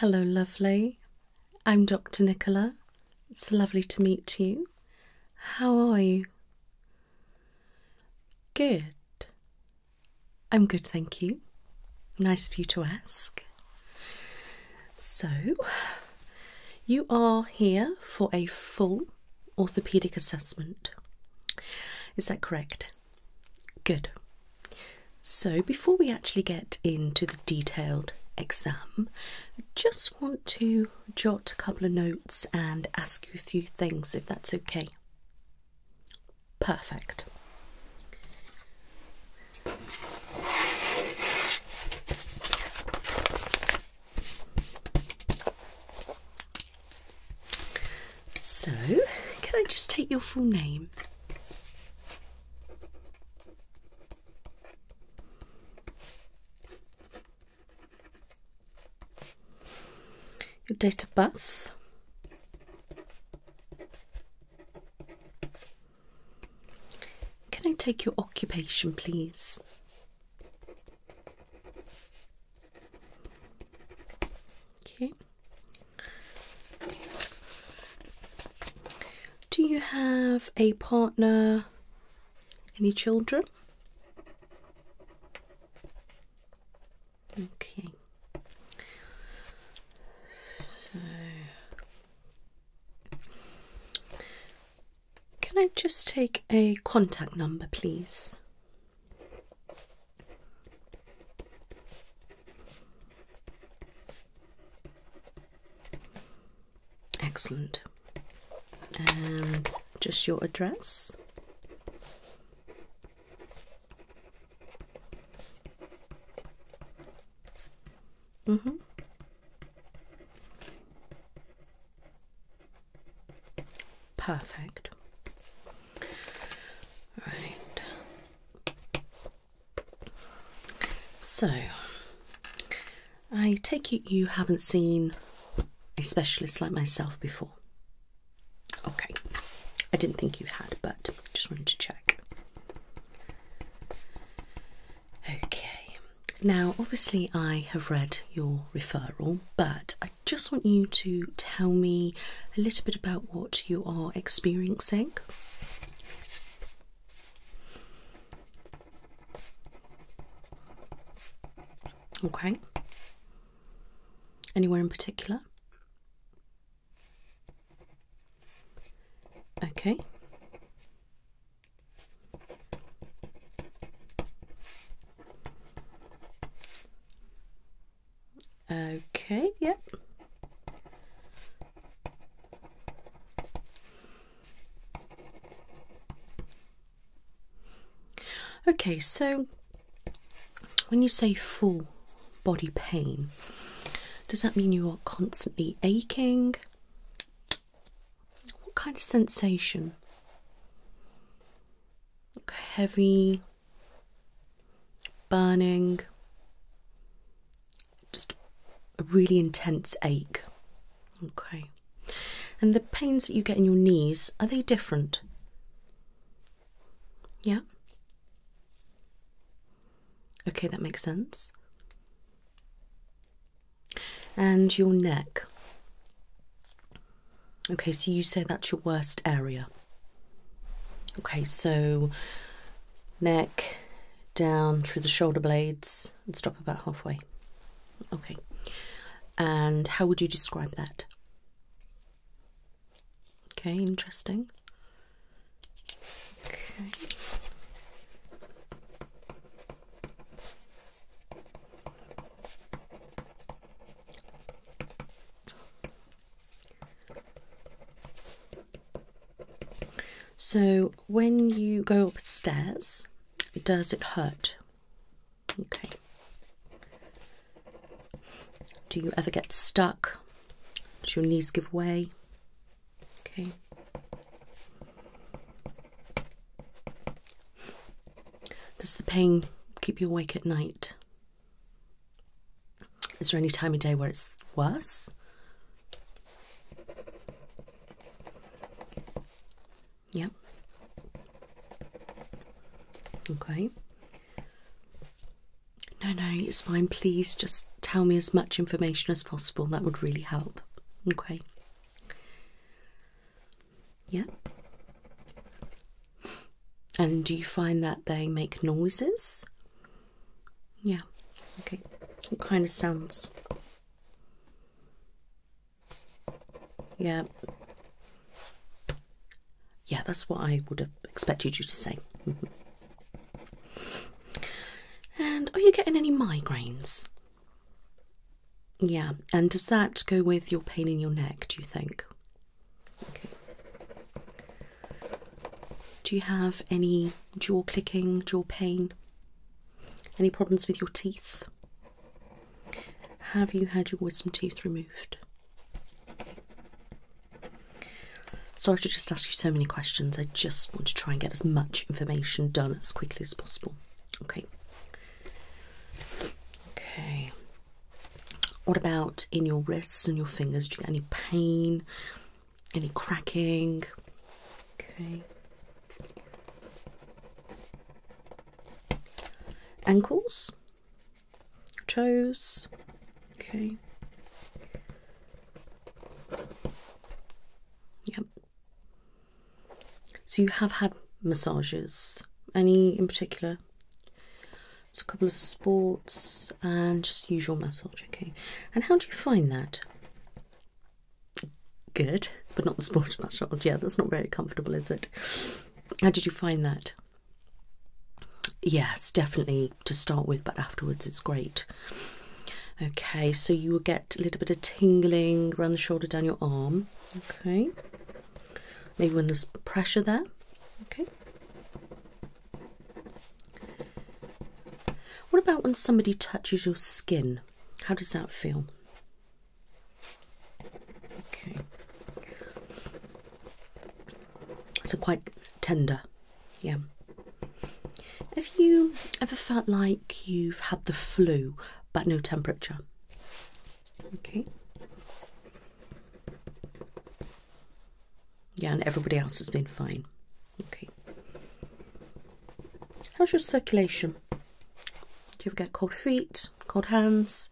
Hello, lovely. I'm Dr. Nicola. It's lovely to meet you. How are you? Good. I'm good, thank you. Nice of you to ask. So, you are here for a full orthopaedic assessment. Is that correct? Good. So, before we actually get into the detailed exam, I just want to jot a couple of notes and ask you a few things if that's okay. Perfect. So, can I just take your full name? Your date of birth? Can I take your occupation, please? Okay. Do you have a partner? Any children? Okay. Can I just take a contact number, please? Excellent. And just your address. Mm-hmm. Perfect. Right. So, I take it you haven't seen a specialist like myself before. Okay. I didn't think you had, but just wanted to check. Okay, now obviously I have read your referral, but I just want you to tell me a little bit about what you are experiencing. Okay. Anywhere in particular? Okay. Okay, yep. Okay, so when you say full body pain, does that mean you are constantly aching? What kind of sensation? heavy, burning, just a really intense ache. Okay. And the pains that you get in your knees, are they different? Yeah? Okay, that makes sense and your neck. Okay, so you say that's your worst area. Okay, so neck down through the shoulder blades and stop about halfway. Okay, and how would you describe that? Okay, interesting. Okay. So when you go upstairs, does it hurt? Okay. Do you ever get stuck? Does your knees give way? Okay. Does the pain keep you awake at night? Is there any time of day where it's worse? Yep. Okay. No, no, it's fine. Please just tell me as much information as possible. That would really help. Okay. Yeah. And do you find that they make noises? Yeah. Okay. What kind of sounds? Yeah. Yeah, that's what I would have expected you to say. Mm-hmm. and are you getting any migraines? Yeah, and does that go with your pain in your neck, do you think? Do you have any jaw clicking, jaw pain? Any problems with your teeth? Have you had your wisdom teeth removed? Sorry to just ask you so many questions. I just want to try and get as much information done as quickly as possible. Okay. Okay. What about in your wrists and your fingers? Do you get any pain? Any cracking? Okay. Ankles? Toes? Okay. Yep. So you have had massages. Any in particular? It's a couple of sports and just usual massage, okay. And how do you find that? Good, but not the sports massage. Yeah, that's not very comfortable, is it? How did you find that? Yes, definitely to start with, but afterwards it's great. Okay, so you will get a little bit of tingling around the shoulder, down your arm. Okay. Maybe when there's pressure there. Okay. What about when somebody touches your skin? How does that feel? Okay. So quite tender. Yeah. Have you ever felt like you've had the flu but no temperature? Okay. Yeah, and everybody else has been fine. Okay. How's your circulation? Do you ever get cold feet, cold hands?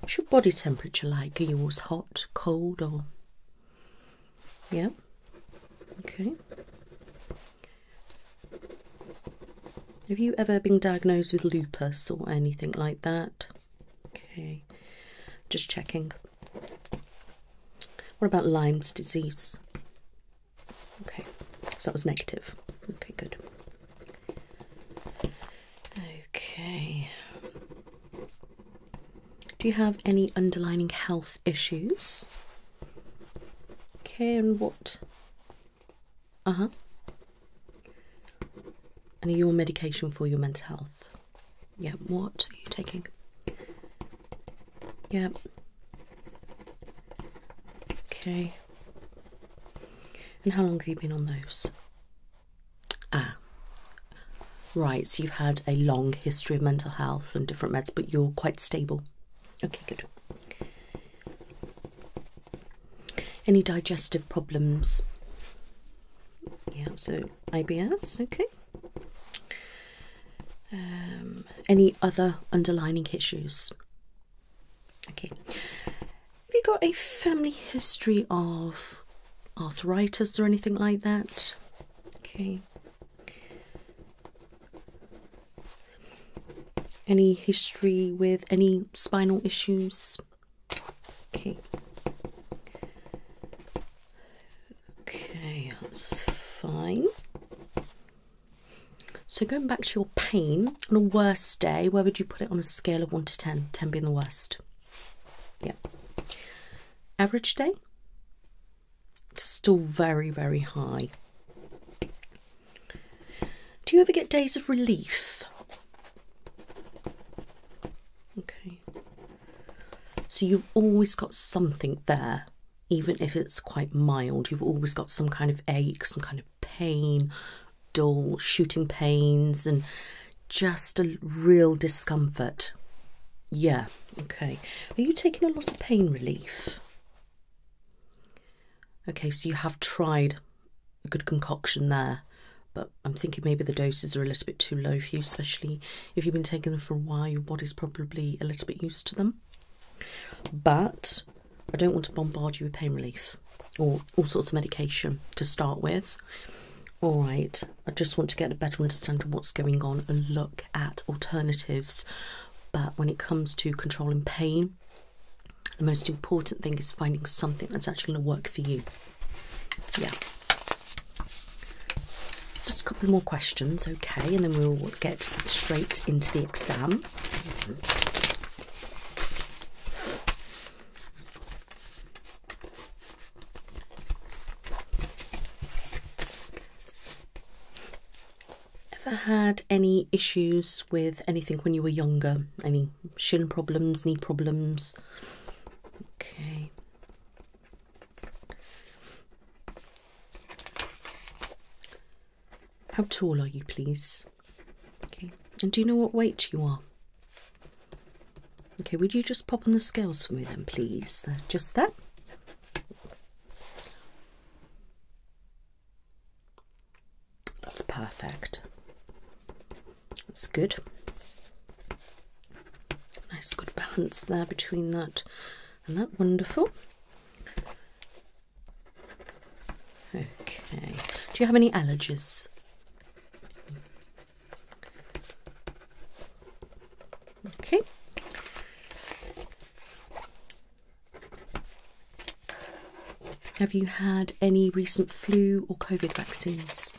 What's your body temperature like? Are yours hot, cold, or yeah? Okay. Have you ever been diagnosed with lupus or anything like that? Okay, just checking. What about Lyme's disease? Okay, so that was negative. Okay, good. Okay. Do you have any underlining health issues? Okay, and what? Uh huh. And your medication for your mental health. Yeah, what are you taking? Yeah. Okay. And how long have you been on those? Ah. Right, so you've had a long history of mental health and different meds, but you're quite stable. Okay, good. Any digestive problems? Yeah, so IBS, okay. Um, any other underlining issues? Okay. Have you got a family history of arthritis or anything like that? Okay. Any history with any spinal issues? Okay. Okay, that's fine. So going back to your pain, on a worst day, where would you put it on a scale of 1 to 10? 10 being the worst. Yeah. Average day? Still very, very high. Do you ever get days of relief? Okay. So you've always got something there, even if it's quite mild. You've always got some kind of ache, some kind of pain, dull shooting pains, and just a real discomfort. Yeah, okay. Are you taking a lot of pain relief? Okay, so you have tried a good concoction there, but I'm thinking maybe the doses are a little bit too low for you, especially if you've been taking them for a while, your body's probably a little bit used to them. But I don't want to bombard you with pain relief or all sorts of medication to start with. All right, I just want to get a better understanding of what's going on and look at alternatives but when it comes to controlling pain, the most important thing is finding something that's actually going to work for you. Yeah. Just a couple more questions, okay, and then we'll get straight into the exam. Ever had any issues with anything when you were younger? Any shin problems, knee problems? Okay. How tall are you, please? Okay. And do you know what weight you are? Okay, would you just pop on the scales for me then, please? just that. That's perfect. That's good. Nice, good balance there between that and that. Wonderful. Okay. Do you have any allergies? Okay. Have you had any recent flu or COVID vaccines?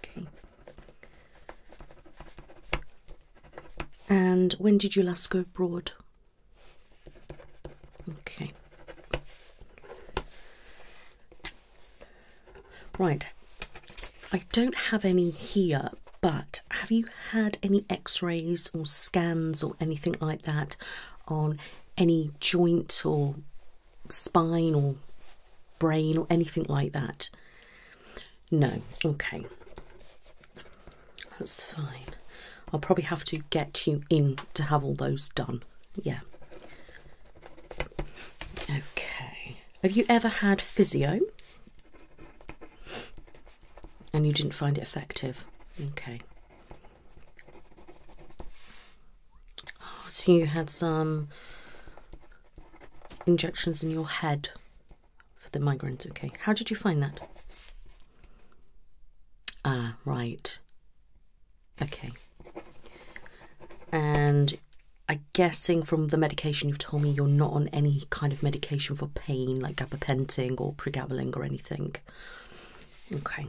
Okay. And when did you last go abroad? Okay. Right. I don't have any here, but have you had any x rays or scans or anything like that on any joint or spine or brain or anything like that? No, okay, that's fine. I'll probably have to get you in to have all those done. Yeah. Okay. Have you ever had physio? and you didn't find it effective. Okay. Oh, so you had some injections in your head for the migraines. Okay. How did you find that? Ah, right. Okay. And i guessing from the medication you've told me you're not on any kind of medication for pain, like gabapentin or not pregaballing or anything. Okay,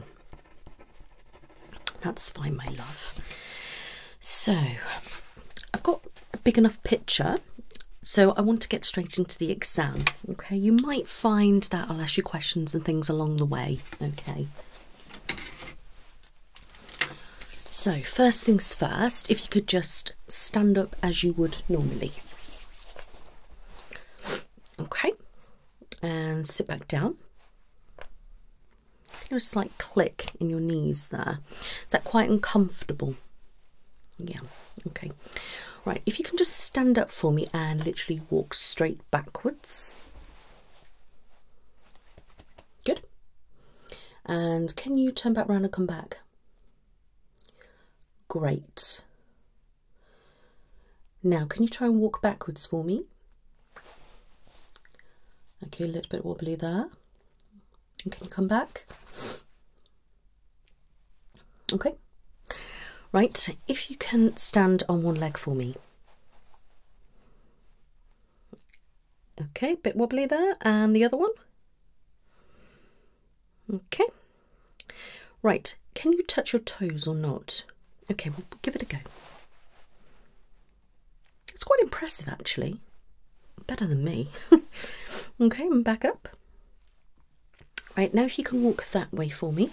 that's fine, my love. So, I've got a big enough picture, so I want to get straight into the exam. Okay, you might find that I'll ask you questions and things along the way. Okay. So, first things first, if you could just stand up as you would normally. Okay, and sit back down. It was a slight click in your knees there. Is that quite uncomfortable? Yeah, okay. Right, if you can just stand up for me and literally walk straight backwards. Good. And can you turn back round and come back? Great. Now, can you try and walk backwards for me? Okay, a little bit wobbly there. can you come back? Okay. Right, if you can stand on one leg for me. Okay, a bit wobbly there. And the other one? Okay. Right, can you touch your toes or not? Okay, we'll give it a go. It's quite impressive actually. Better than me. okay, back up. Right, now if you can walk that way for me.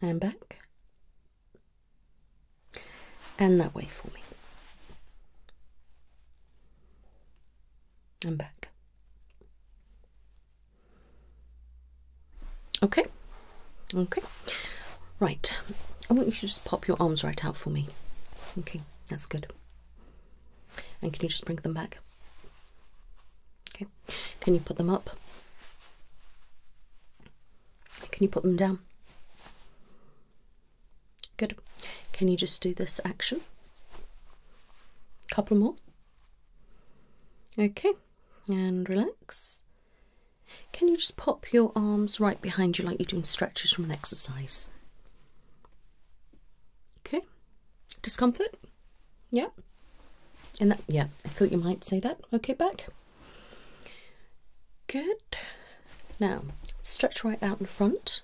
And back. And that way for me. I'm back. Okay, okay, right. I want you to just pop your arms right out for me. Okay, that's good. And can you just bring them back? Okay, can you put them up? Can you put them down? Good. Can you just do this action? Couple more. Okay, and relax. Can you just pop your arms right behind you like you're doing stretches from an exercise? Okay. Discomfort? Yep. And that, yeah, I thought you might say that. Okay, back. Good. Now, stretch right out in front.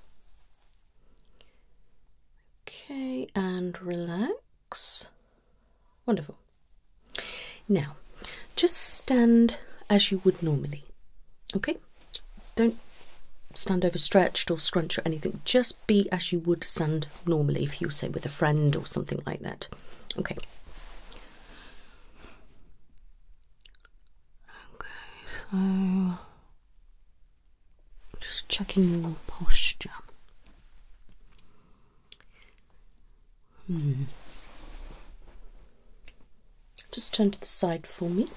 Okay, and relax. Wonderful. Now, just stand as you would normally. Okay? Don't stand over stretched or scrunch or anything. Just be as you would stand normally if you say with a friend or something like that. Okay. Okay, so just checking your posture. Hmm. Just turn to the side for me.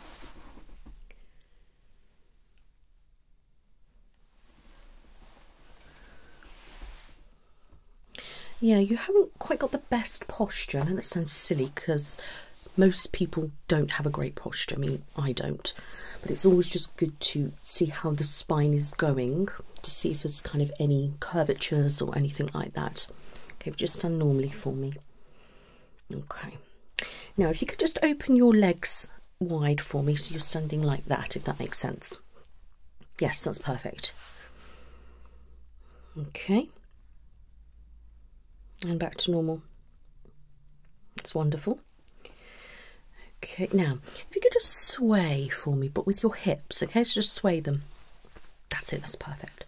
Yeah, you haven't quite got the best posture. I know that sounds silly because most people don't have a great posture. I mean, I don't, but it's always just good to see how the spine is going to see if there's kind of any curvatures or anything like that. Okay, we just stand normally for me. Okay, now if you could just open your legs wide for me so you're standing like that, if that makes sense. Yes, that's perfect. Okay, and back to normal. It's wonderful. Okay, now if you could just sway for me, but with your hips, okay? just sway them. That's it, that's perfect.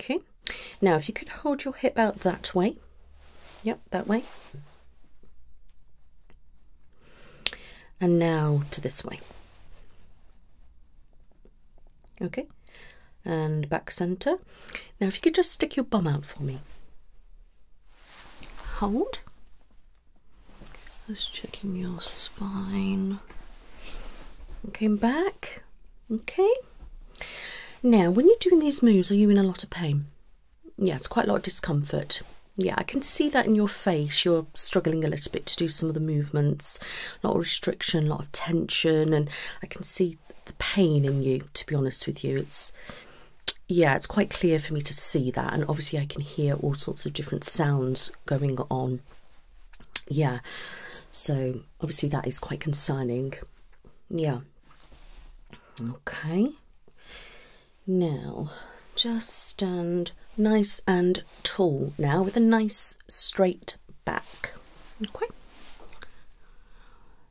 Okay, now if you could hold your hip out that way, yep, that way. And now to this way. Okay, and back center. Now, if you could just stick your bum out for me. Hold. Just checking your spine. Okay, back. Okay. Now, when you're doing these moves, are you in a lot of pain? Yeah, it's quite a lot of discomfort. Yeah, I can see that in your face. You're struggling a little bit to do some of the movements, a lot of restriction, a lot of tension, and I can see the pain in you, to be honest with you. It's, yeah, it's quite clear for me to see that. And obviously, I can hear all sorts of different sounds going on. Yeah, so obviously, that is quite concerning. Yeah. Okay. Now, just stand nice and tall now with a nice straight back. Okay.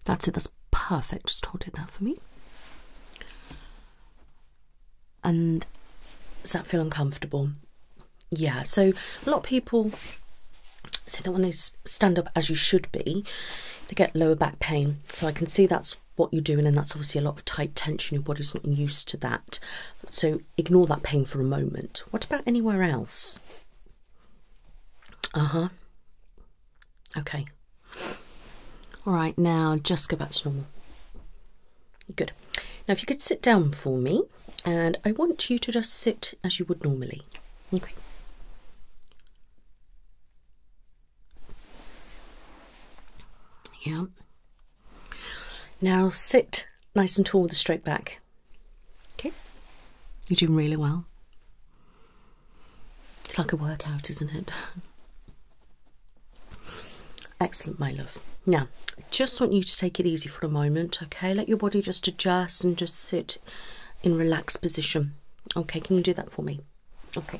That's it, that's perfect. Just hold it there for me. And does that feel uncomfortable? Yeah, so a lot of people say that when they stand up as you should be, they get lower back pain. So I can see that's what you're doing, and that's obviously a lot of tight tension. Your body's not used to that. So ignore that pain for a moment. What about anywhere else? Uh huh. Okay. All right, now just go back to normal. Good. Now, if you could sit down for me, and I want you to just sit as you would normally. Okay. Yeah. Now sit nice and tall with a straight back. Okay? You're doing really well. It's like a workout, isn't it? Excellent, my love. Now, I just want you to take it easy for a moment, okay? Let your body just adjust and just sit in relaxed position. Okay, can you do that for me? Okay.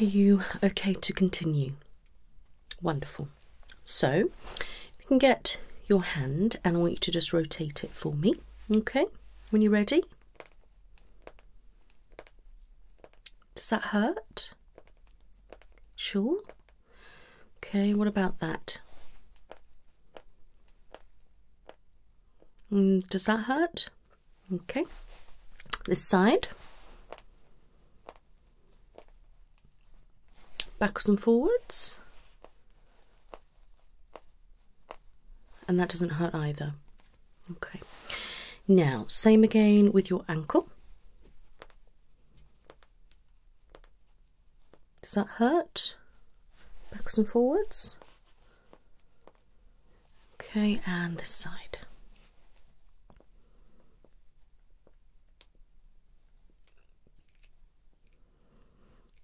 Are you okay to continue? Wonderful. So, you can get your hand and I want you to just rotate it for me, okay? When you're ready. Does that hurt? Sure. Okay, what about that? Mm, does that hurt? Okay. This side. Backwards and forwards. And that doesn't hurt either. Okay. Now, same again with your ankle. Does that hurt? Backwards and forwards. Okay, and this side.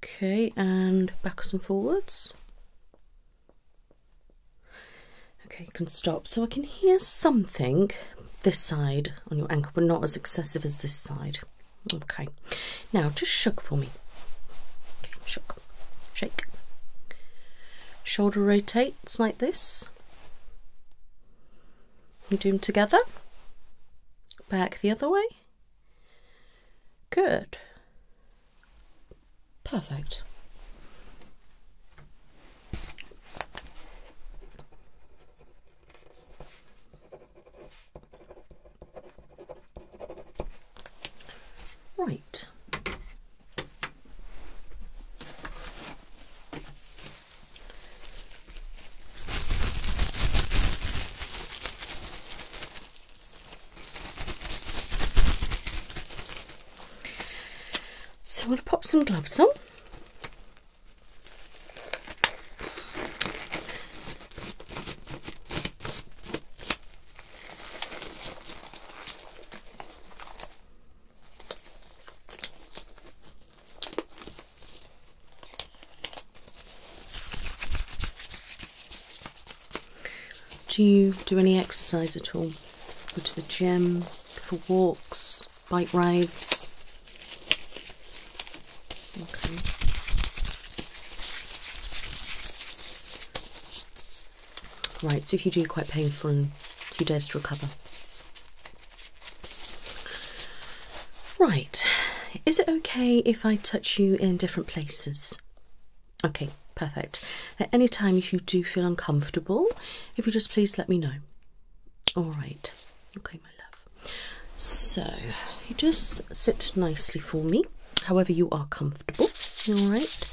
Okay, and backwards and forwards. Okay, can stop. So I can hear something this side on your ankle, but not as excessive as this side. Okay, now just shook for me. Okay, shook. Shake. Shoulder rotates like this. We do them together. Back the other way. Good. Perfect. Right. So I'm going to pop some gloves on. Do you do any exercise at all? Go to the gym, for walks, bike rides? Okay. Right, so if you do, you quite painful and two days to recover. Right, is it okay if I touch you in different places? Okay, perfect. At any time, if you do feel uncomfortable, if you just please let me know. All right, okay, my love. So, you just sit nicely for me however you are comfortable. All right.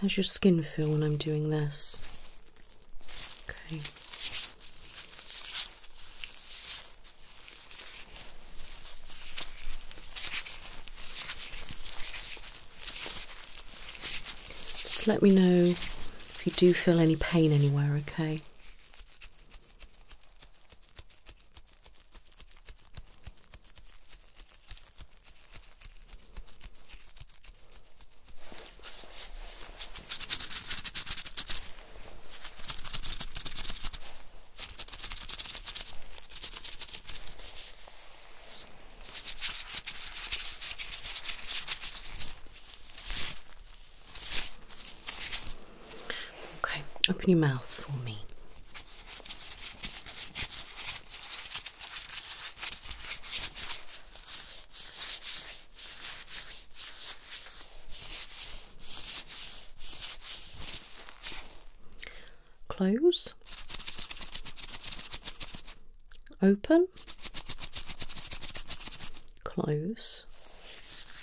How's your skin feel when I'm doing this? Just let me know if you do feel any pain anywhere, okay? Okay, open your mouth for me. Close, open, close,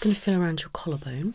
It's going to feel around your collarbone.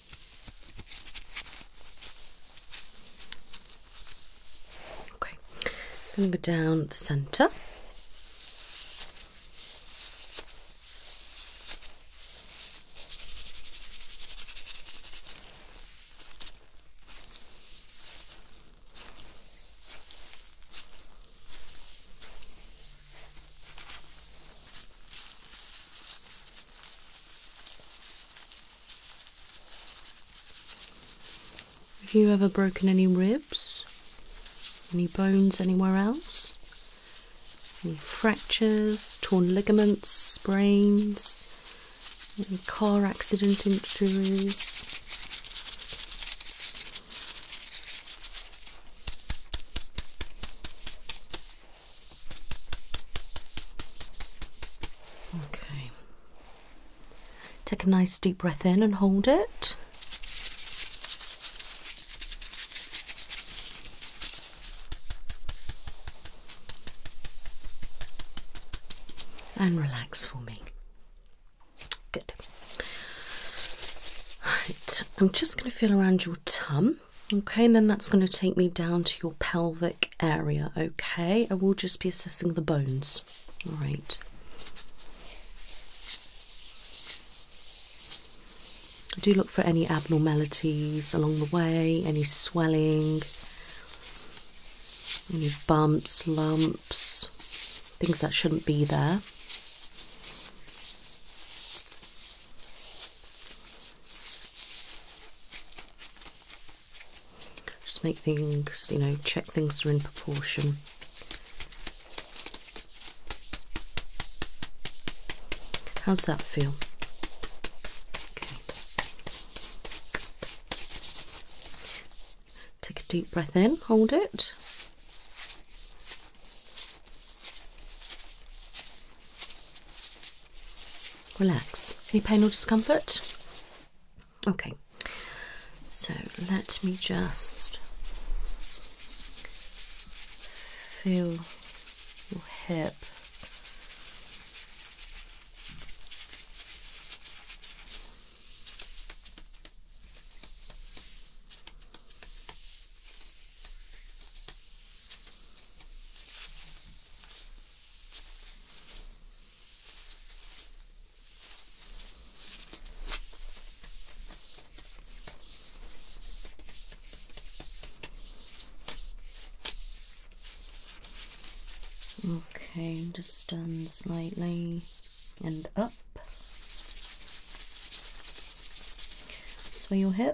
Okay, I'm going to go down the center. Have you ever broken any ribs? Any bones anywhere else? Any fractures, torn ligaments, brains? Any car accident injuries? Okay. Take a nice deep breath in and hold it. And relax for me. Good. Right, I'm just going to feel around your tum. Okay, and then that's going to take me down to your pelvic area. Okay, I will just be assessing the bones. All right. I do look for any abnormalities along the way, any swelling, any bumps, lumps, things that shouldn't be there. Just make things, you know, check things are in proportion. How's that feel? Take a deep breath in, hold it. Relax. Any pain or discomfort? Okay. So let me just feel your hip. Okay, just stand slightly and up. Sway your hip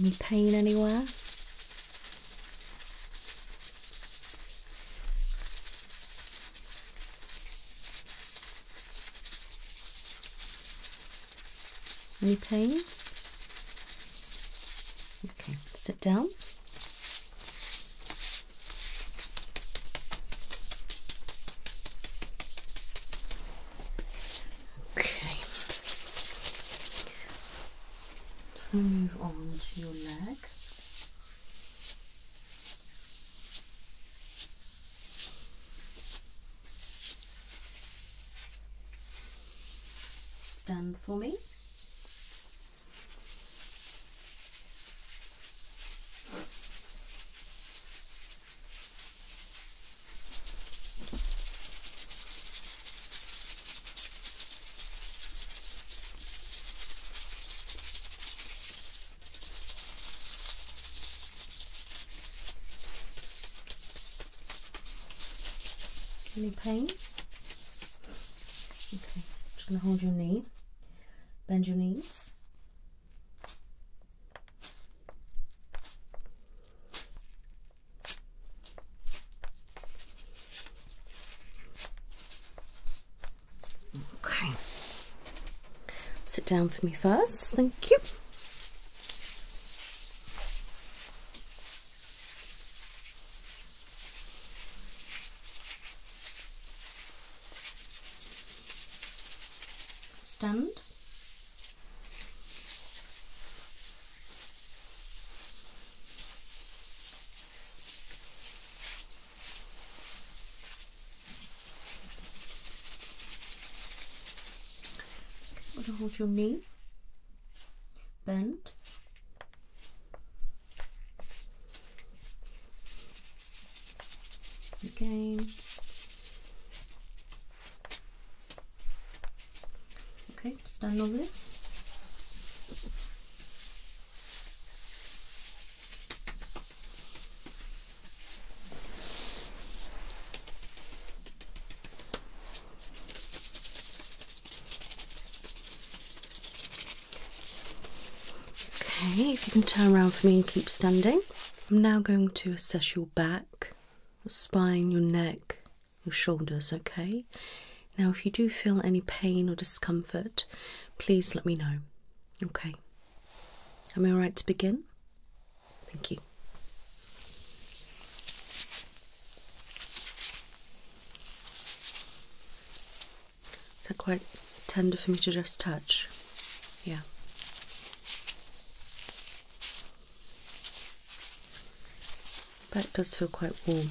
Any pain anywhere? Any pain? Okay, sit down. Okay. Let's move on to your leg. Stand for me. Any pain? Okay, just gonna hold your knee, bend your knees. Okay. Sit down for me first. Thank you. Stand. We're gonna hold your knee, bend. Again, Okay, stand over there. Okay, if you can turn around for me and keep standing. I'm now going to assess your back, spine, your neck, your shoulders, okay? Now, if you do feel any pain or discomfort, please let me know, okay? Am I alright to begin? Thank you. Is that quite tender for me to just touch? Yeah. But it does feel quite warm.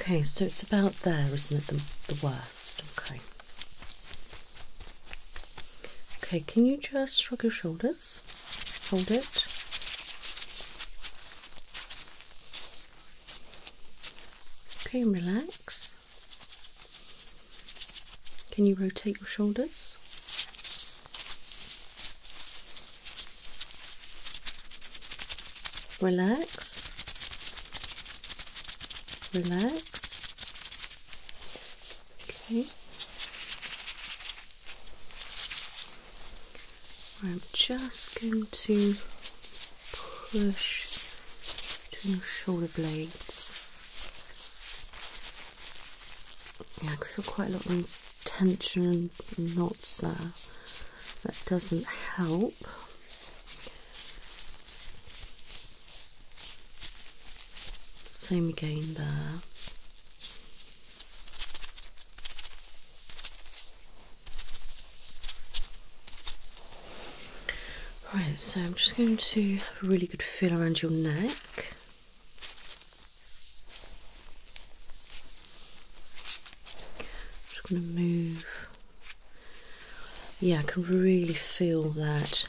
Okay, so it's about there, isn't it? The, worst. Okay. Okay, can you just shrug your shoulders? hold it. Okay, and relax. Can you rotate your shoulders? Relax. Relax. Okay. I'm just going to push between your shoulder blades. Yeah, I feel quite a lot of tension and knots there. That doesn't help. Same again there. Right, so I'm just going to have a really good feel around your neck. I'm just going to move. Yeah, I can really feel that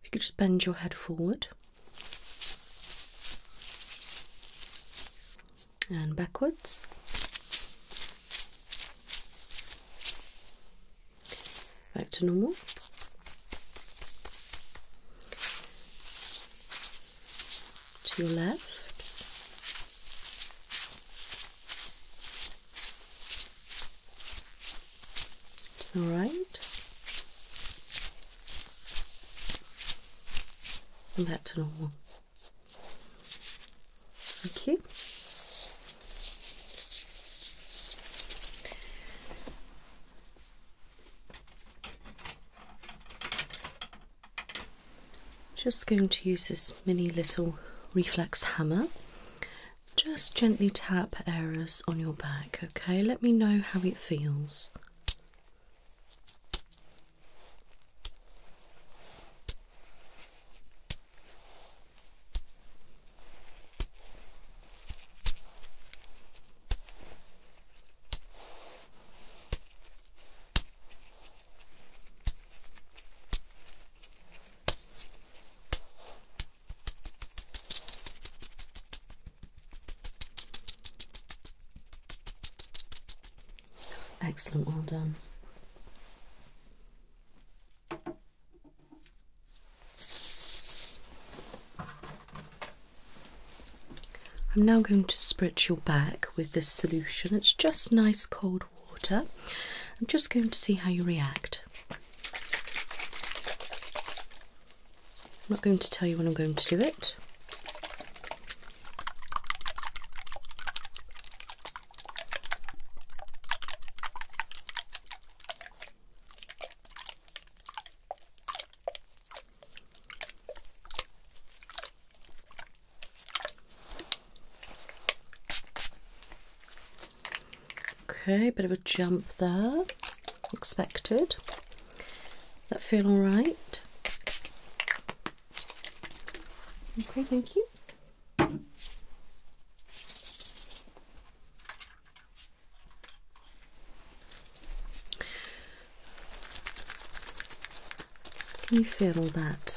If you could just bend your head forward and backwards. Back to normal. To your left to the right and back to normal. Okay. Just going to use this mini little reflex hammer just gently tap areas on your back, okay? Let me know how it feels. Excellent, well done. I'm now going to spritz your back with this solution. It's just nice cold water. I'm just going to see how you react. I'm not going to tell you when I'm going to do it. Okay, a bit of a jump there, expected. That feel all right? Okay, thank you. Can you feel all that?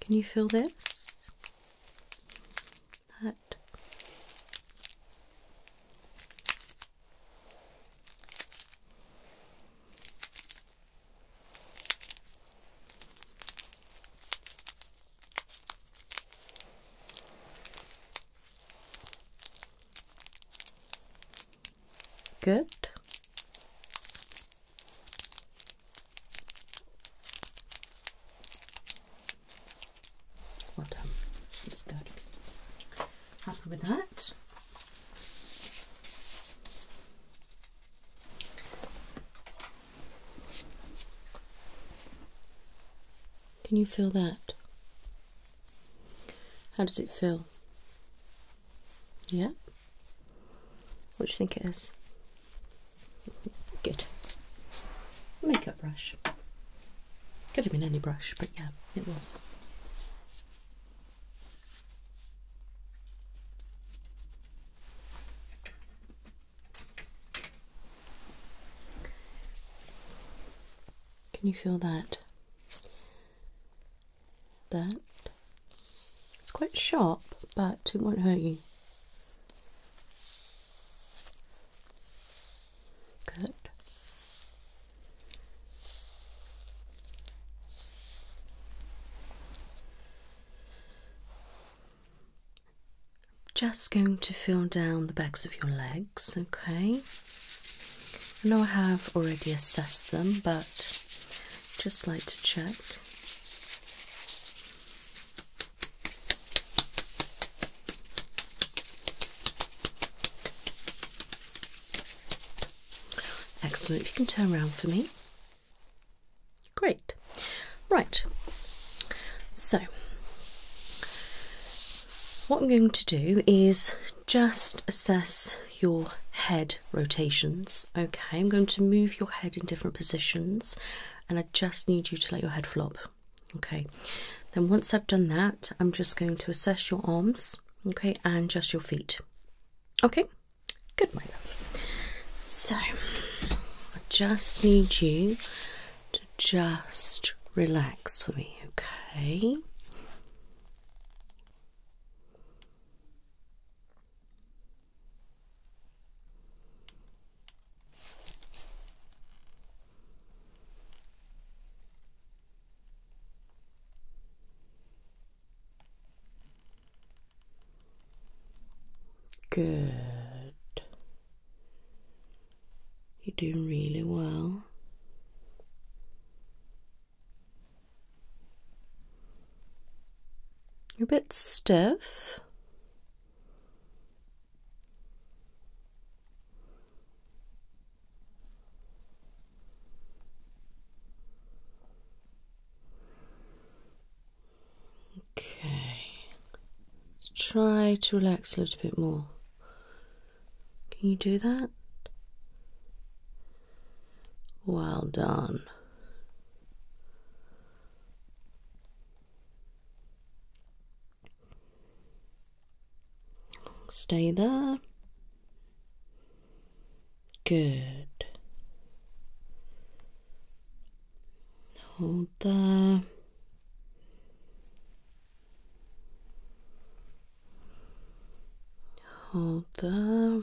Can you feel this? That. Good. Well done. It's good. Happy with that. Can you feel that? How does it feel? Yeah, what do you think it is? Good. Makeup brush. Could have been any brush, but yeah, it was. Can you feel that that. It's quite sharp, but it won't hurt you. Good. Just going to feel down the backs of your legs, okay? I know I have already assessed them, but just like to check Excellent. If you can turn around for me. Great. Right. So, what I'm going to do is just assess your head rotations Okay, I'm going to move your head in different positions and I just need you to let your head flop. Okay, then once I've done that, I'm just going to assess your arms, okay, and just your feet. Okay, good, my love. So, I just need you to just relax for me, okay? Good. You're doing really well. You're a bit stiff. Okay, let's try to relax a little bit more. Can you do that? Well done. Stay there. Good. Hold there. Hold there.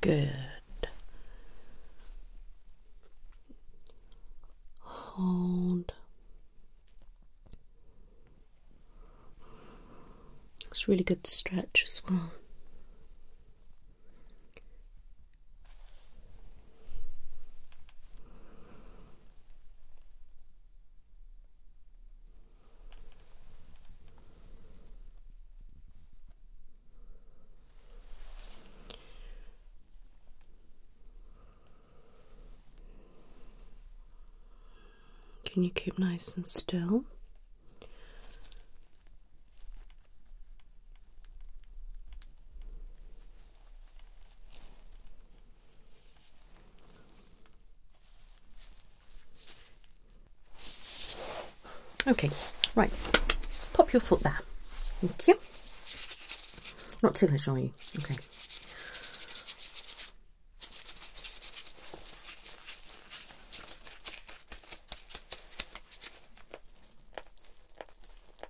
Good. Hold. It's a really good stretch as well. Can you keep nice and still? Okay, right. Pop your foot there. Thank you. Not too much, are you? Okay.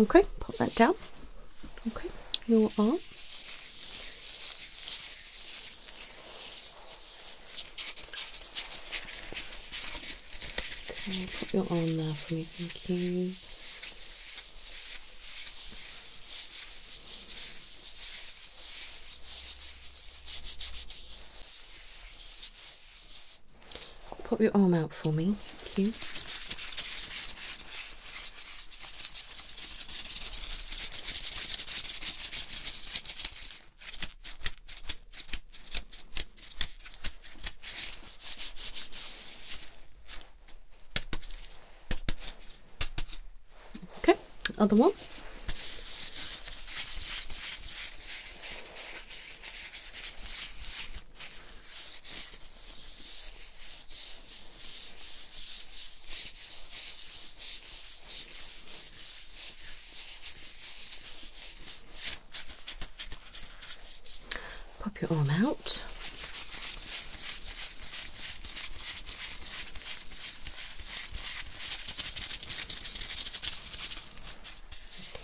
Okay, pop that down. Okay, your arm. Okay, put your arm there for me, thank you. Put your arm out for me. Thank Okay, other one pop your arm out.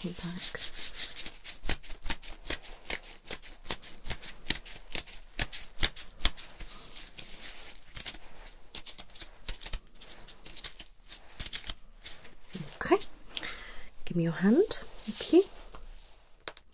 Okay, Okay, give me your hand. Okay.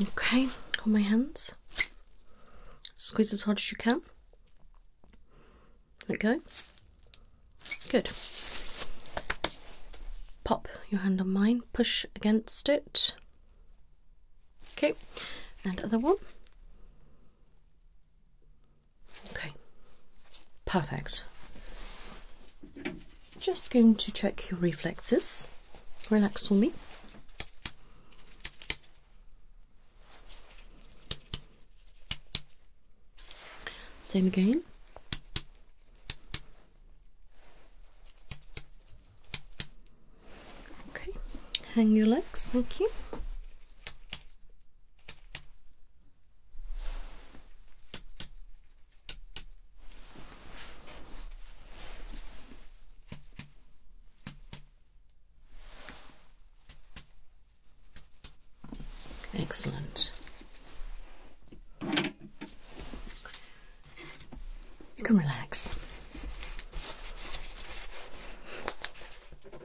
Okay, hold my hands. Squeeze as hard as you can. Let go. Good. Pop your hand on mine, push against it. Okay, and other one. Okay, perfect. Just going to check your reflexes. Relax for me. Same again. Okay, hang your legs, thank you. Excellent. You can relax.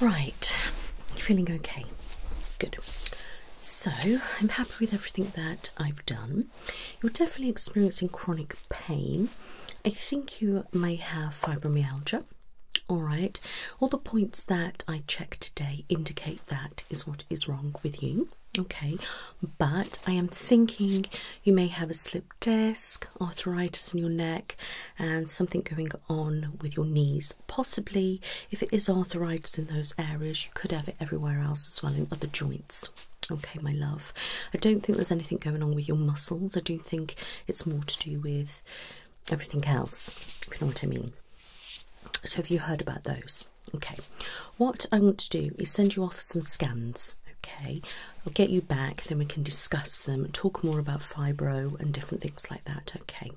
Right, you feeling okay? Good. So I'm happy with everything that I've done. You're definitely experiencing chronic pain. I think you may have fibromyalgia. All right, all the points that I checked today indicate that is what is wrong with you. Okay, but I am thinking you may have a slip disc, arthritis in your neck, and something going on with your knees. Possibly, if it is arthritis in those areas, you could have it everywhere else as well in other joints. Okay, my love. I don't think there's anything going on with your muscles. I do think it's more to do with everything else, if you know what I mean. So, have you heard about those? Okay. What I want to do is send you off some scans. Okay, I'll get you back, then we can discuss them, talk more about fibro and different things like that. Okay,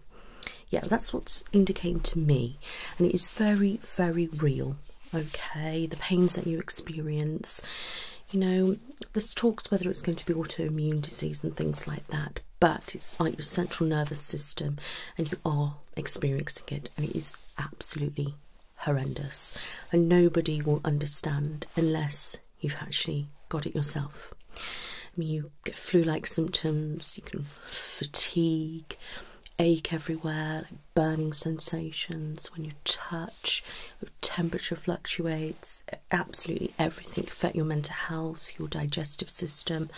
yeah, that's what's indicated to me, and it is very, very real. Okay, the pains that you experience, you know, this talks whether it's going to be autoimmune disease and things like that, but it's like your central nervous system, and you are experiencing it, and it is absolutely horrendous, and nobody will understand unless you've actually got it yourself. I mean, you get flu-like symptoms, you can fatigue, ache everywhere, like burning sensations when you touch, temperature fluctuates, absolutely everything affect your mental health, your digestive system.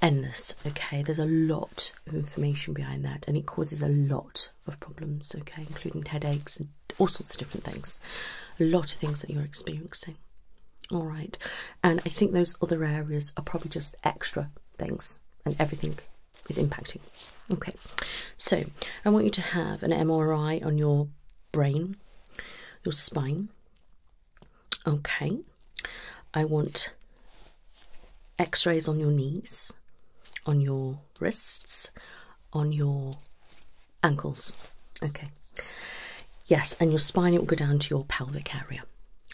Endless, okay. There's a lot of information behind that, and it causes a lot of problems, okay, including headaches and all sorts of different things. A lot of things that you're experiencing, all right. And I think those other areas are probably just extra things, and everything is impacting Okay, so I want you to have an MRI on your brain, your spine. Okay, I want x rays on your knees, on your wrists, on your ankles. Okay, yes, and your spine, it will go down to your pelvic area.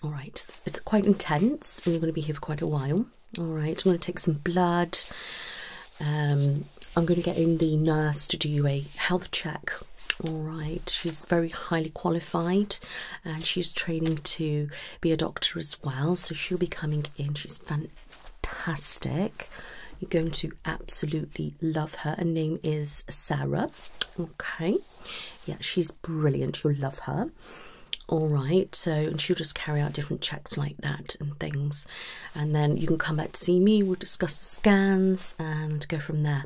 All right, it's quite intense, and you're going to be here for quite a while. All right, I'm going to take some blood. Um, I'm going to get in the nurse to do a health check. All right, she's very highly qualified and she's training to be a doctor as well, so she'll be coming in. She's fantastic. You're going to absolutely love her. Her name is Sarah. Okay, yeah, she's brilliant. You'll love her. All right, so she'll just carry out different checks like that and things. And then you can come back to see me, we'll discuss the scans and go from there.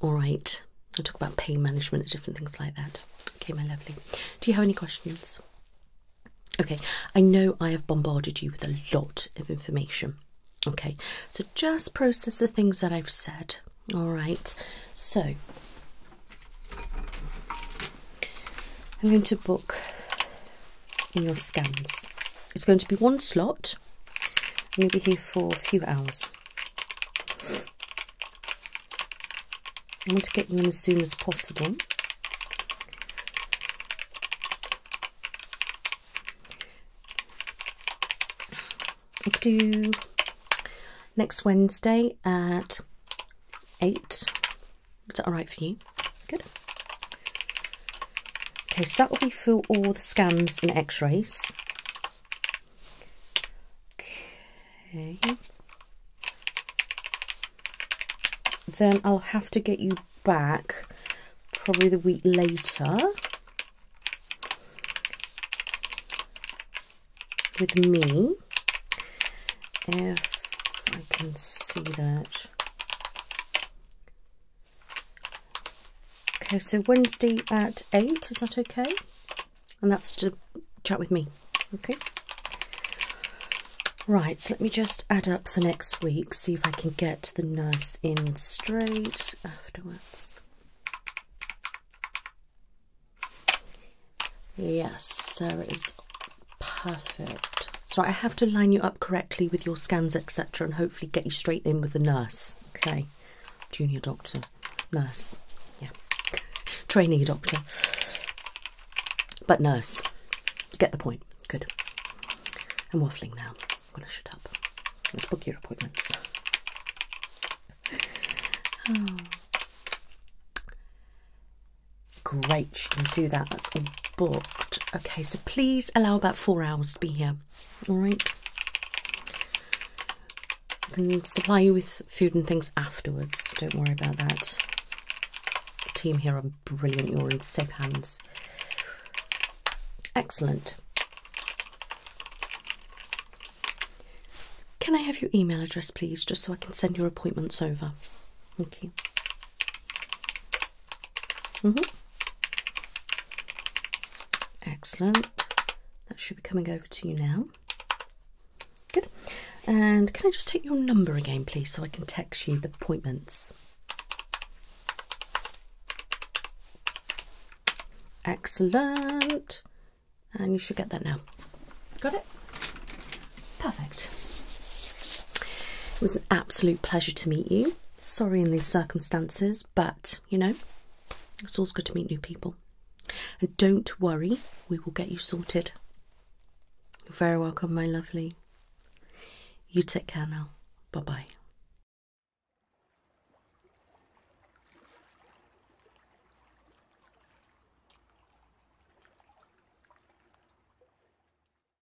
All right, I'll talk about pain management and different things like that. Okay, my lovely. Do you have any questions? Okay, I know I have bombarded you with a lot of information. Okay, so just process the things that I've said. All right, so I'm going to book in your scans. It's going to be one slot and you'll be here for a few hours. I want to get you in as soon as possible. I could do next Wednesday at 8 is that all right for you? Good. Okay, so that will be for all the scans and x-rays. Okay. Then I'll have to get you back probably the week later with me if I can see that. Okay, so Wednesday at 8, is that okay? And that's to chat with me, okay? Right, so let me just add up for next week, see if I can get the nurse in straight afterwards. Yes, Sarah is Perfect. So I have to line you up correctly with your scans, etc., and hopefully get you straight in with the nurse. Okay. Junior doctor, nurse, yeah. Trainee doctor, but nurse. You get the point. Good. I'm waffling now. I'm gonna shut up. Let's book your appointments. Oh. Great, you can do that. That's all booked. Okay, so please allow about four hours to be here. All right. I can supply you with food and things afterwards. Don't worry about that. team here are brilliant. You're in safe hands. Excellent. Can I have your email address, please, just so I can send your appointments over? Thank you. Mm-hmm. Excellent. That should be coming over to you now. Good. And can I just take your number again, please, so I can text you the appointments? Excellent. And you should get that now. Got it? Perfect. It was an absolute pleasure to meet you sorry in these circumstances, but you know, it's always good to meet new people. And don't worry, we will get you sorted. You're very welcome, my lovely. You take care now. Bye bye.